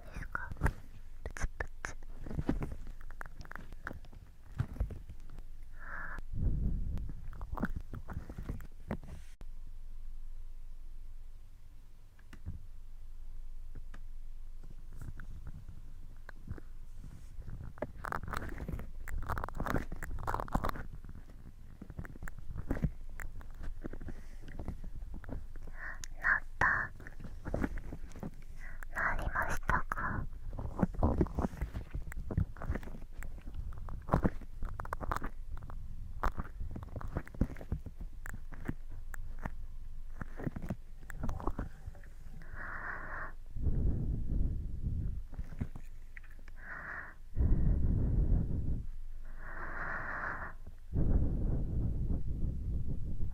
なですかなったなりましたか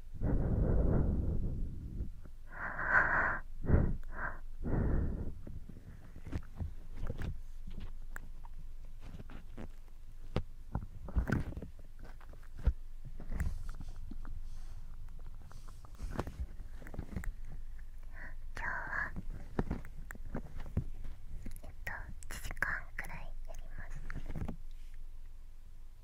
はは。あ。うえっと1時間くらいやります。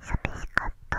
寂しかった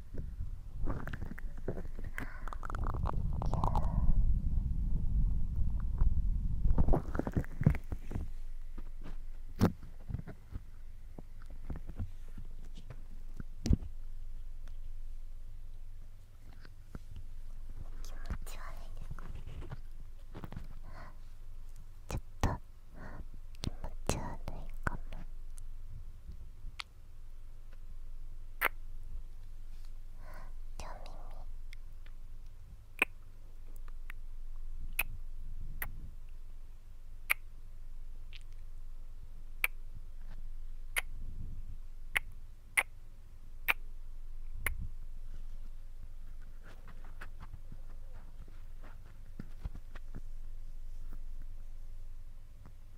ち悪いねちょっと気持ち悪いかも。両耳耳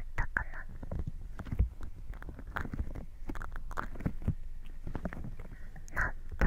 ったかななった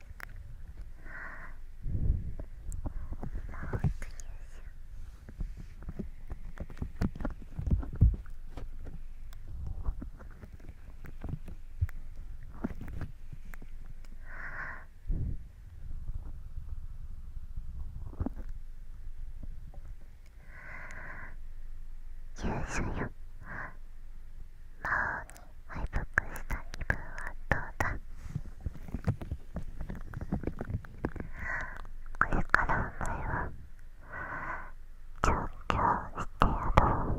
優勝よ。敗北した気分はどうだこれからお前は調教してやろう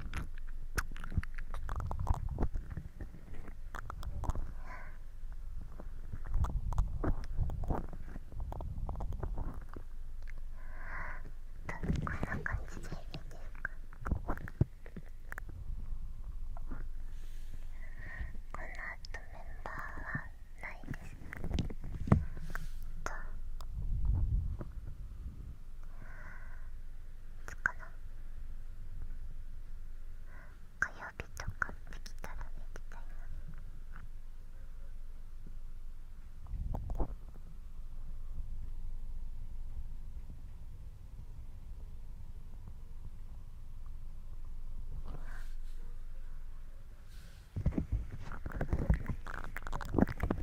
どんな感じでいいですかこのあとメンバーはないですと。つかな火曜日とかできたら寝てたいな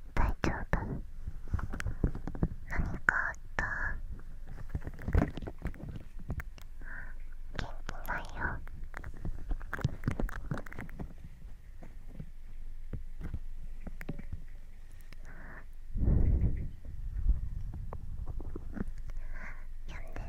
大丈夫何かあった元気ないよやんでる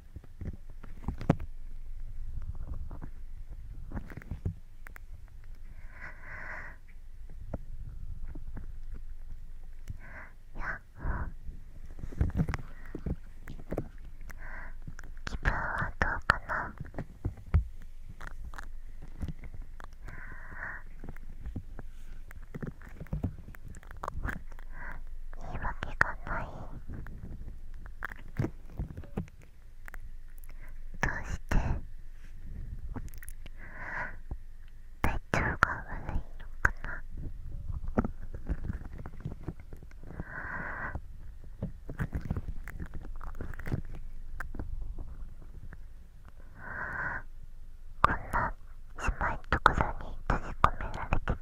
気分はどうかな言い訳がない。どうして体調が悪いのかなこんな狭いとこに閉じ込められてたら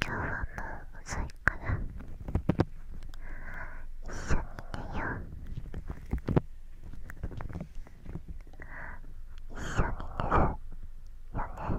今日はもう遅いから一緒に寝よう一緒に寝るよね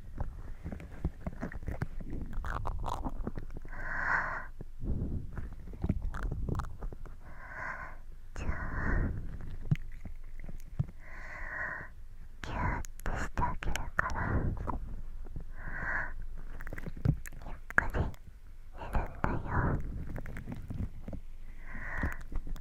はじゃあギューってしてあげるからゆっくり寝るんだよ。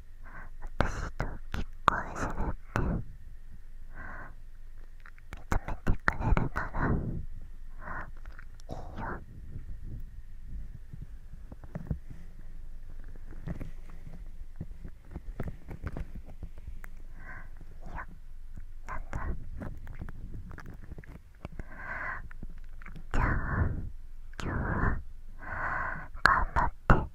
私と結婚するって認めてくれるならいいよいやなんだじゃあ今日は頑張って。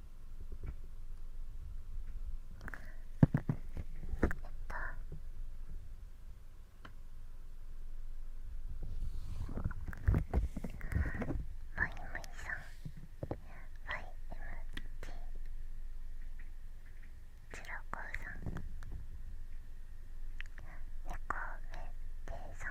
えっとマイマイさん YMT チロコウさん猫めってさん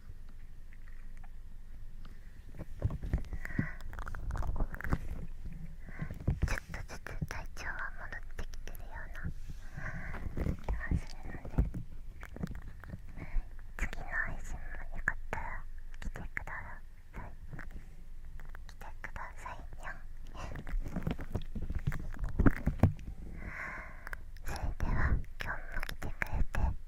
ちょっとずつ体調は戻ってきてるような気がするので次の配信もよかったら来てください来てくださいにゃそれでは今日も来てくれて